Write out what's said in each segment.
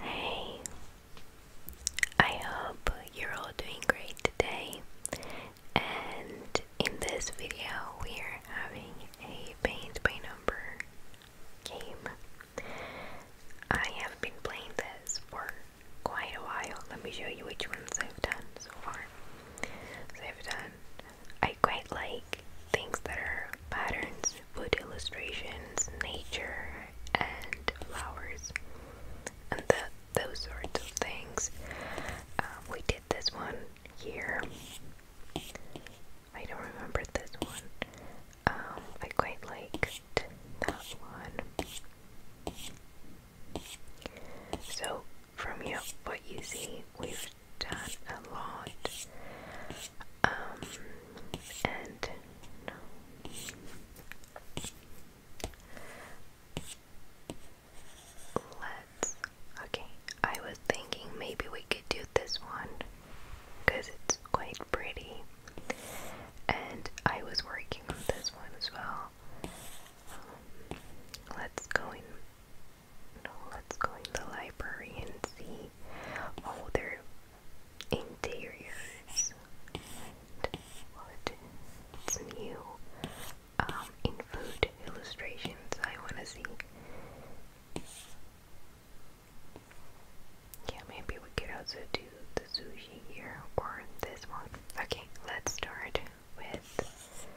Hey, I hope you're all doing great today. And in this video, we're having a paint by number game. I have been playing this for quite a while. Let me show you which ones I've done so far. So I've done, I quite like things that are patterns food illustrations, nature, and flowers, and those sorts of things. Um, we did this one here. I don't remember this one. Um, I quite like that one. So, from you, what you see, we've done a lot. Um, and no. Let's. Okay, I was thinking maybe we could do this one because it's quite pretty. And I was working on this one as well. Um, let's go in. let's go in the library and see. Oh, there interiors and what new um, in food illustrations I wanna see. Yeah, maybe we could also do the sushi here or this one. Okay, let's start with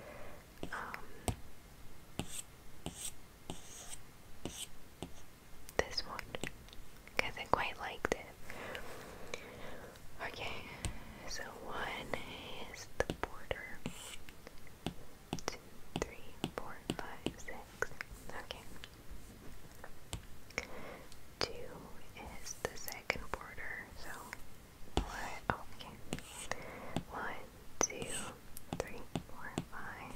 um, this one because I quite liked it. Okay, so one is the border. Two, three, four, five, six. Okay. Two is the second border, so what? Oh, okay. One, two, three, four, five,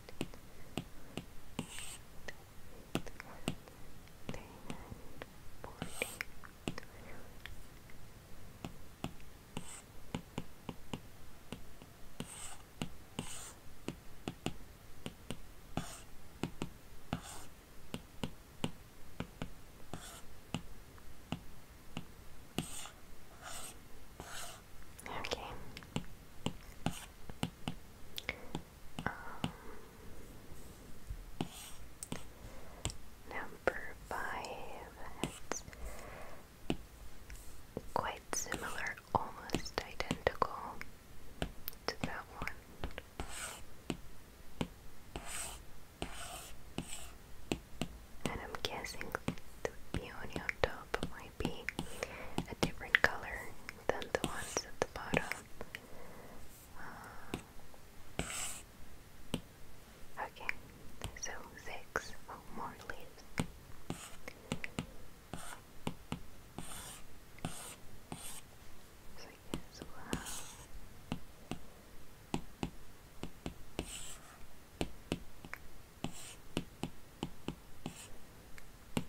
Forty. Okay. Um, number five. quite similar, almost identical to that one. And I'm guessing the peony on top top might be a different color than the ones at the bottom. Uh, okay, so six oh, more leaves. So yes, wow.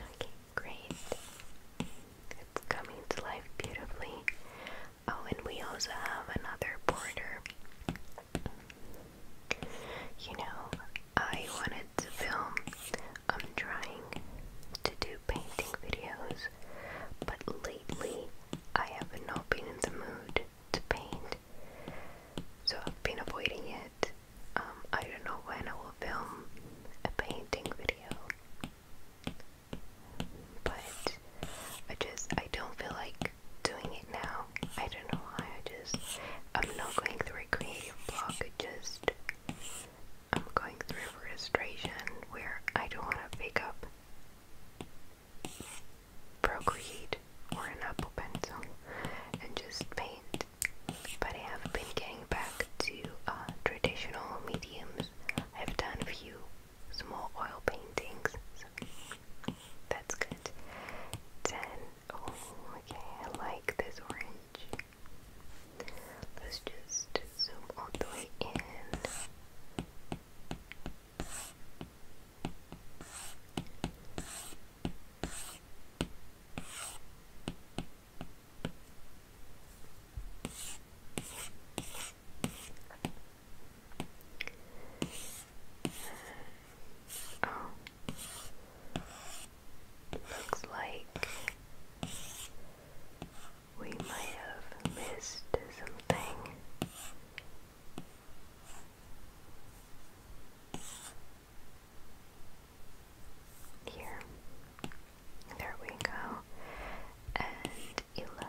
Okay, great. It's coming to life beautifully. Oh, and we also have another border. You know, I wanted to film. I'm um, trying to do painting videos, but lately I have not been in the mood to paint, so I've been avoiding it. Um, I don't know when I will film a painting video but I just I don't feel like doing it now. I don't know why. I just I'm not going through a creative block. I just I'm going through frustration where I don't want to pick up Procreate or an Apple pencil and just paint. But I have been getting back to uh, traditional mediums. I've done a few Small oil paintings. that's good. Then, oh, okay, I like this orange. Let's just zoom all the way in. Oh. Looks like we might have missed something. Here. There we go. And eleven.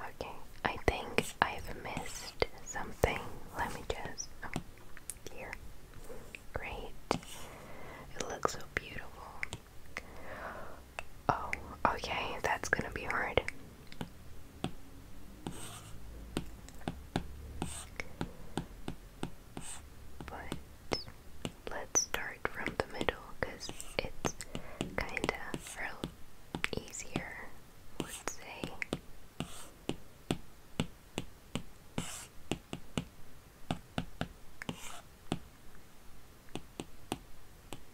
Okay, I think I've missed something. Let me just. Oh, here. Great. It looks so beautiful. Oh, okay, that's gonna be hard. But let's start from the middle because it's kinda easier, let say.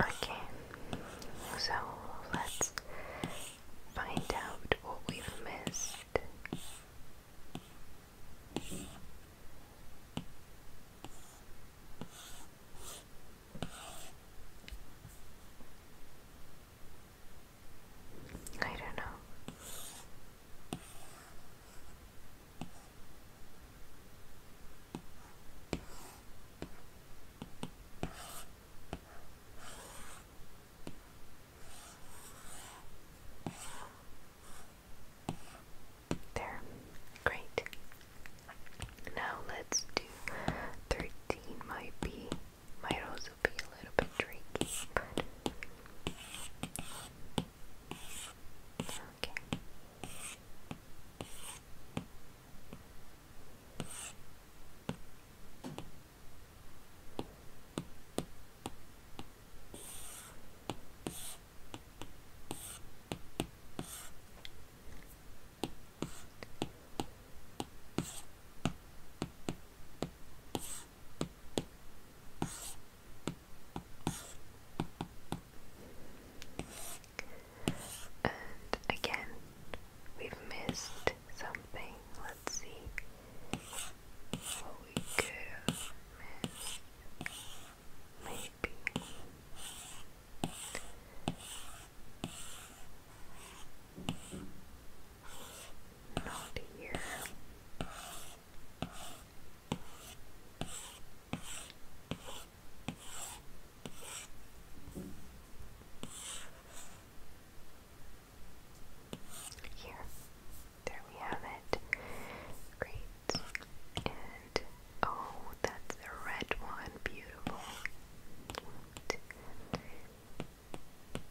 Okay, so let's find out what we've missed. I don't know. There, great. Now let's do thirteen might be might also be a little bit tricky, Okay. And again, we've missed something. Let's see what we could have missed. Maybe around here. Here. There we have it. Great. And oh, that's the red one. Beautiful.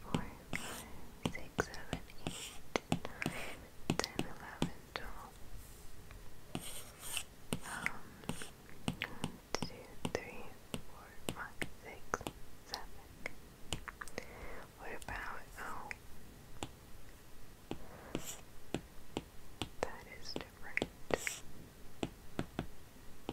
four, five, six, seven, eight, nine, ten, eleven, twelve. Um, one, two, three, four, five, six, seven. What about oh? That is different.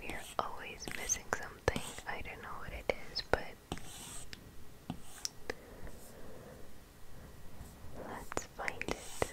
We are always missing something. I don't know what it is, but let's find it.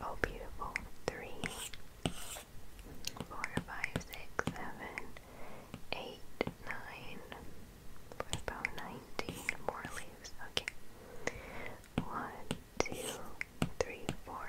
Oh, beautiful. Three, four, five, six, seven, eight, nine. about nineteen more leaves? Okay. One, two, three, four.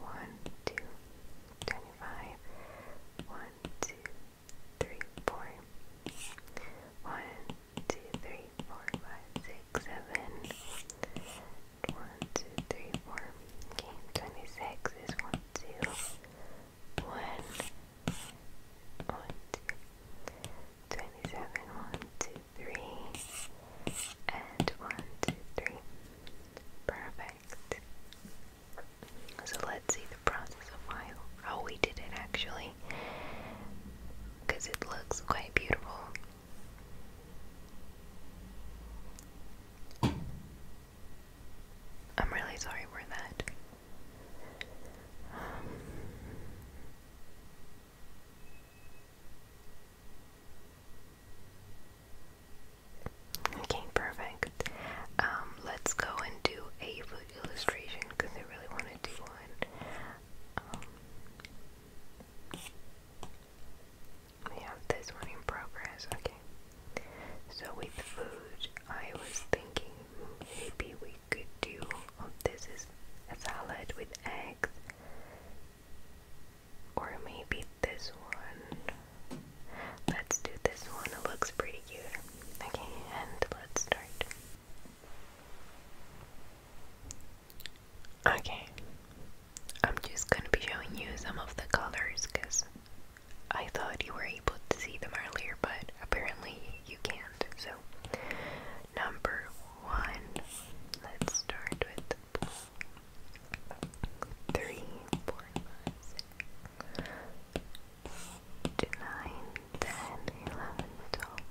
One, two, twenty-five. One, two, three, four. One, two, three, four, five, six, seven. One, two, three, four. Okay, twenty-six is one, two, one, one, two. Twenty-seven, one, two, three, and one, two, three. Perfect. So let's see the process of how, how we did it actually. Because it looks quite beautiful. I'm really sorry for that. Okay, perfect. Um, let's go and do a food illustration because I really want to do one. Um, we have this one in progress, okay. So with food, I was thinking maybe we could do, oh, this is a salad with eggs or maybe this one. Let's do this one. It looks pretty cute. Okay, and let's start. Okay. I'm just gonna be showing you some of the colors because I thought you were able to see them earlier, but apparently you can't. So, number one, let's start with blue three, four, five, six, eight, nine, ten, eleven, twelve,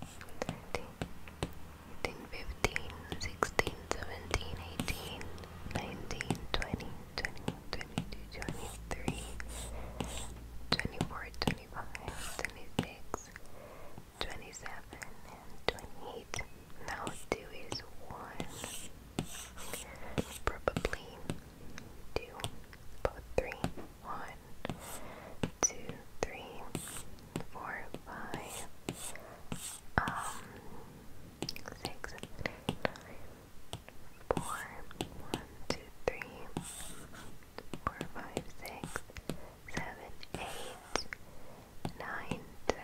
thirteen, fourteen, fifteen, sixteen, seventeen, eighteen, nineteen, twenty, twenty-one, twenty-two, twenty-three, twenty-four, twenty-five, twenty-six, twenty-seven, and twenty-eight. Now two is one. Probably two. But three. One, two, three, four, five. Um six, eight, nine, four, one, two, three, four, five, six, seven, eight, nine, ten.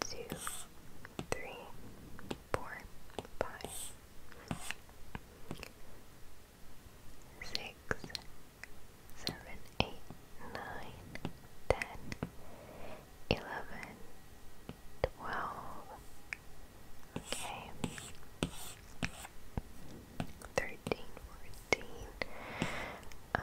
two, three, four, five, six, seven, eight, nine, ten, eleven, twelve, okay, thirteen, fourteen, um,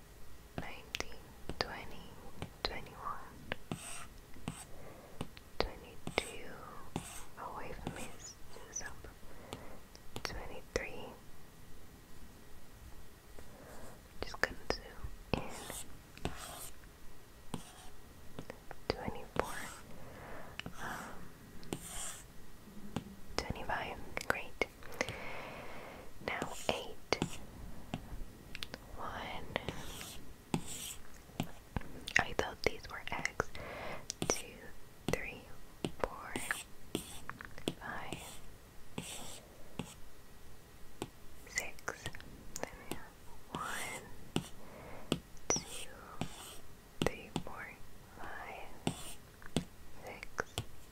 nineteen, twenty, twenty-one, twenty-two. Oh, we've missed some. Twenty-three. Just gonna zoom in. Twenty-four. Um, twenty-five. Great eight. Now eight. One. I thought these were eggs. Two, three, four, five, six. One, two, three, four, five, six,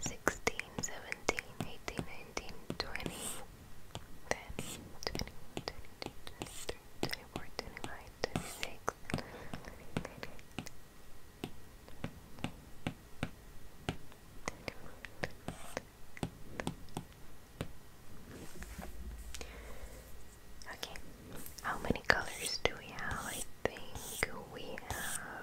16, 17, 18, 19, 20, 10, 20, 22, 23, 24, 25, 26, 28, Okay, how many colors do we have? I think we have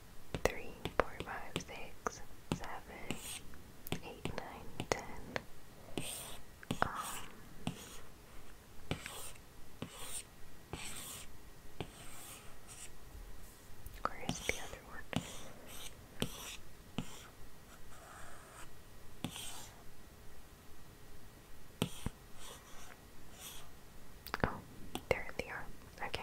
three, four, five, six, seven, eight, nine, ten. Um, where is the other one? Oh, there they are. Okay.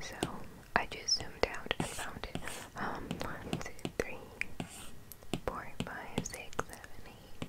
So I just zoomed out and found it. Um, one, two, three, four, five, six, seven, eight.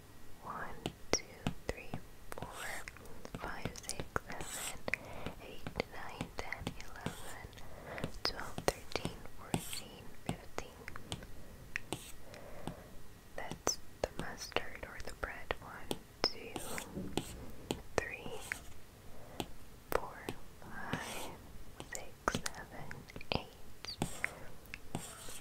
one, two, three, four, five, six, seven, eight, nine, ten, eleven, twelve, thirteen, fourteen, fifteen. That's the mustard or the bread. One, two, three, four, five, six, seven, eight.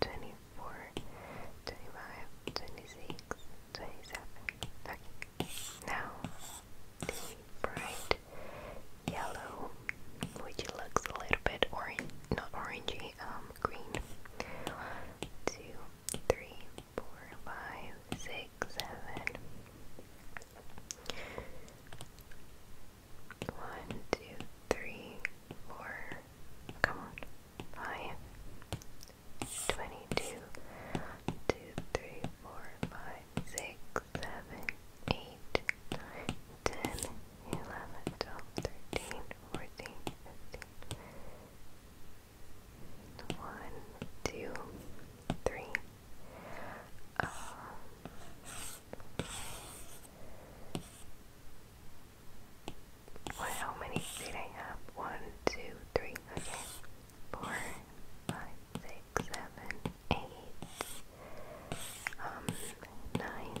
24, 25, 26, 27. Okay. Now the bright yellow, which looks a little bit orange, not orangey, um, green. One, two, three, four, five, six, seven. One, two, three, four, come on, five, twenty-two, two, three, four, five, six, seven, eight, nine, ten, eleven, twelve, thirteen, fourteen, fifteen. One, two, three. Um, what, how many did I have? One, two, three, okay. Four, five, six, seven, eight, um, nine,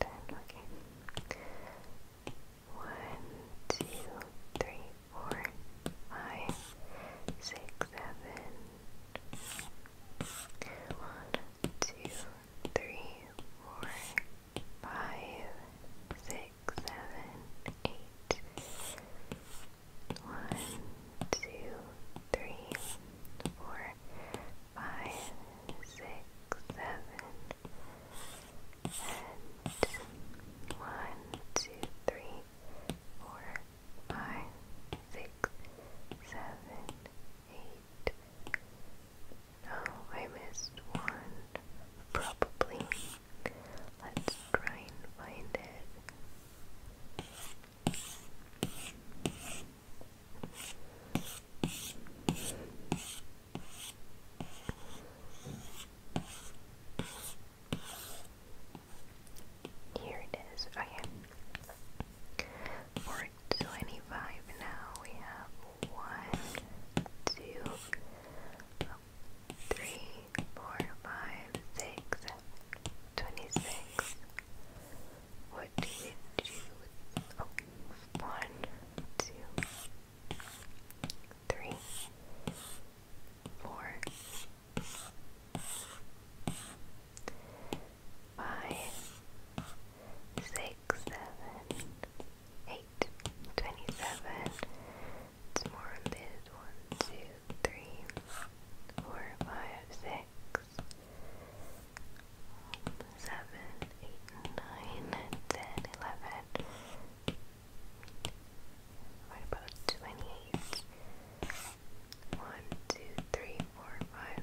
ten, okay three, four, five, six, seven, eight. One, two, three, four, five, six, seven, one, two, three, four, five, six, seven, eight. No, I missed one. Probably. Let's try and find it. Here it is. Okay number 25 now. We have one, two, oh, three, four, five, six, twenty-six. What do we do? Oh, one, two, three, four, five, six six, seven, eight, twenty-seven. It's more lid. One, two, three, four, five, six, seven, eight, nine, ten, eleven. about twenty-eight? One, two, three, four, five,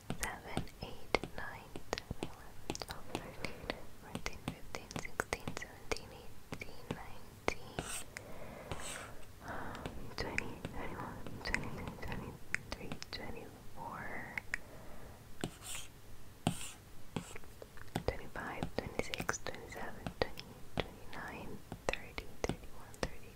7, 19, 20, 21, 22, 23, 24, 25, 26, 27, 28, 29, 30, 31, 32,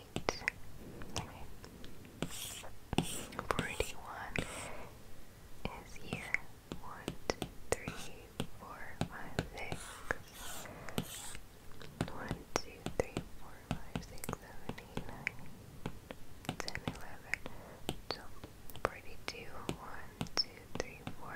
eight. Okay. Forty-one is here. One, three, four, five, six. One, two, three, four, five, six, seven, eight, nine, ten, eleven. So forty-two. One, two, three, four.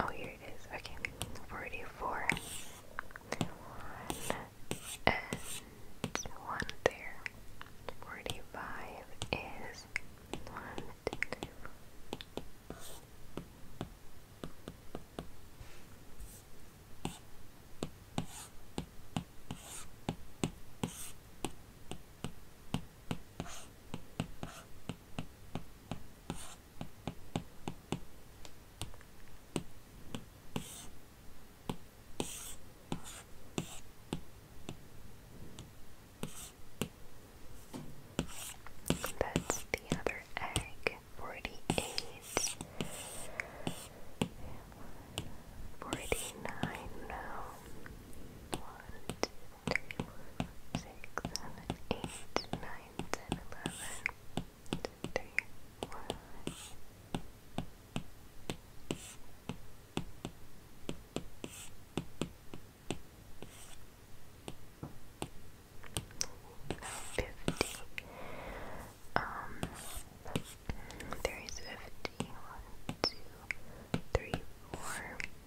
Oh, here it is. Okay, 44. One and one there. 45 is one, two, three, four. That's the other egg. Forty-eight. Forty-nine. No. One, two, two, six, seven, eight, nine, ten, eleven, three, four, fifty. Um, there is fifty. One,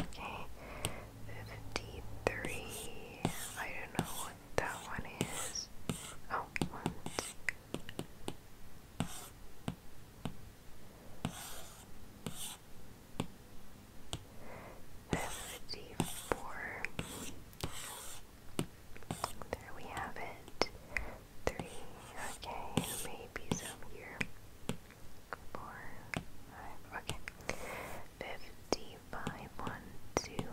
Okay, fifty-three. I don't know what that one is. one. Oh, fifty-four. There we have it. Three. Okay, maybe some here four, five, okay. Fifty-five, one, two,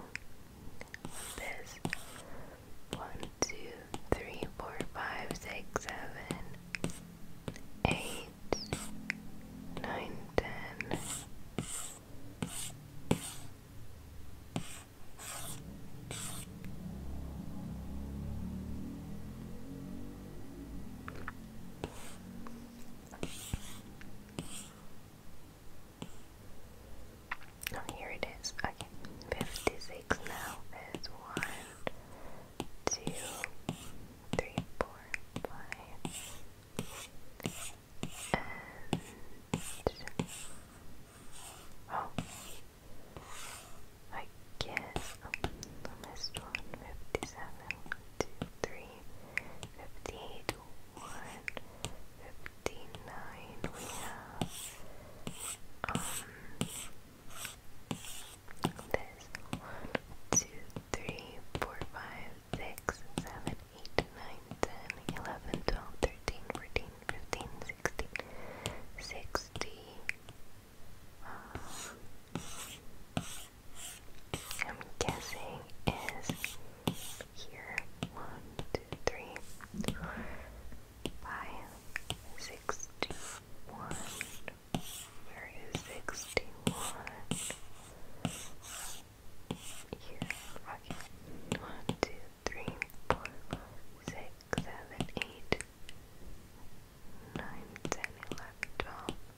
this, one, two, three, four, five, six, seven, eight, nine, ten. Oh, here it is. Okay, 56 now is 1, and... Oh, I guess Let's open the list one fifty seven, one, two, three, fifty eight, one, fifty nine. We have um this one, two, three, four, five, six, seven, eight, nine, ten, eleven, twelve, thirteen, fourteen, fifteen, sixteen, sixty. Um, I'm guessing is here. One, two, three, four, five, sixty-one. Where is sixty-one? Here. Okay. One, two, three, four, five, six, seven, eight, nine, ten, eleven, twelve. 13, 14, 15, 16, 17, 18, 19, 20, 21, 22, 23, 24, 25, 26, 27, 28, 29, 10, 11, 12,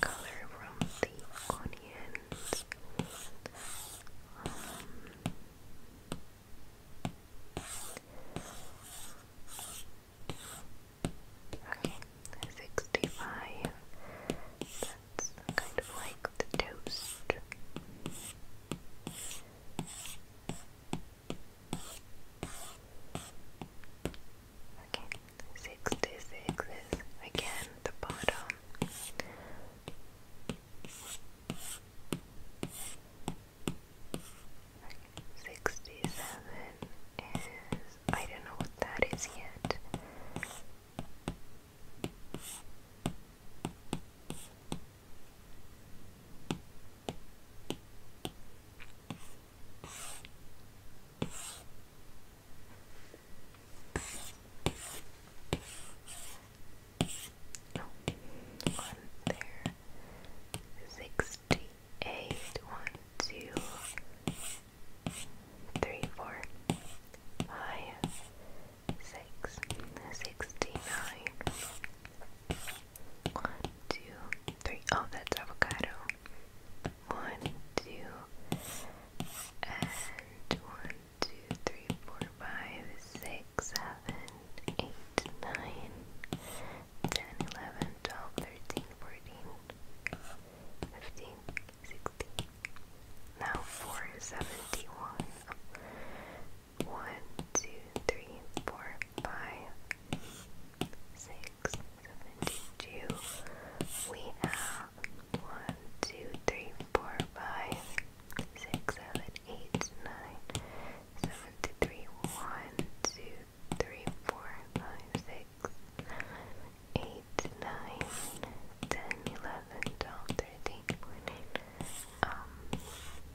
color from the onions. Um, okay, 65. That's kind of like the toast. Okay, 66 is again the bottom. Okay, 67 is. I don't know what that is yet. One there, sixty-eight, one, two, three, four, five, six, sixty-nine, one, two, three. Oh, that's avocado. One, two, and one, two, three, four, five, six, seven, eight, nine, ten, eleven, twelve, thirteen, fourteen, fifteen, sixteen. Now four seventy-one. One, two, three, four, five, six, seventy-two. We have one, two, three, four, five, six, seven, eight, nine, seventy-three. One, two, three, four, five, six, eight, nine, ten, eleven, twelve, thirteen, fourteen. Um,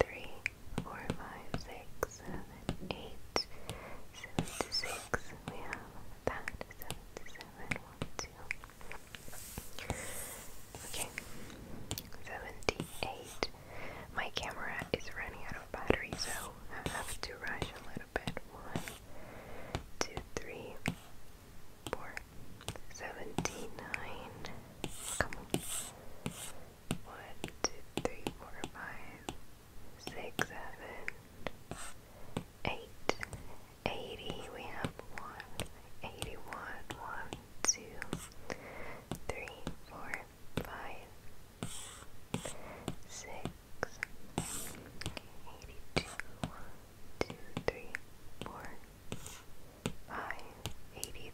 three, four, five, six, seven, eight, seventy six. We have that seventy seven. Okay. Seventy eight. My camera is running out of battery, so I have to rush a little bit. One, two, three, four, seventy nine. Come on one, two, three, four, five, six, seven, eight. 80, we have one, 81, one, two, three, four, five, six, 82, one, two, three, four, five, 81,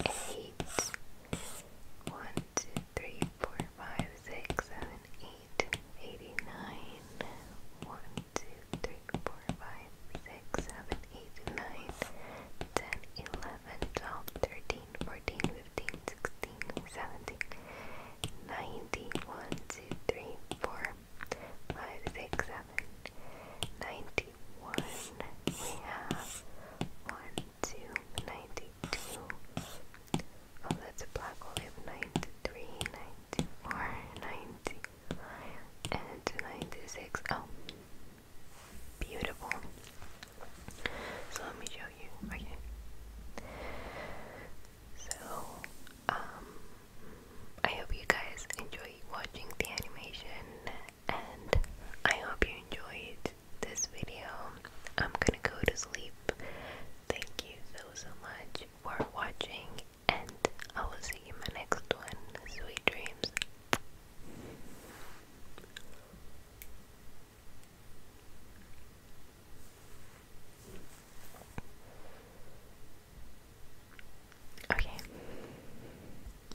eight. One, two, three, four, five, six, seven, eight, eighty-nine. One, two, three, four, five, six, seven, eight, nine, ten, eleven, twelve, thirteen, fourteen, fifteen, sixteen, seventeen, nineteen. One, two, three, four, five, six, seven, ninety-one. We have one, 92. Oh, that's a black hole. We have 93, 94, 95, and 96. Oh, beautiful. So let me show you. Okay. So, um, I hope you guys enjoy watching the animation and I hope you enjoyed this video. I'm gonna go to sleep. Thank you so so much for watching, and I will see you in my next one. Sweet dreams. Okay.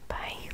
Bye.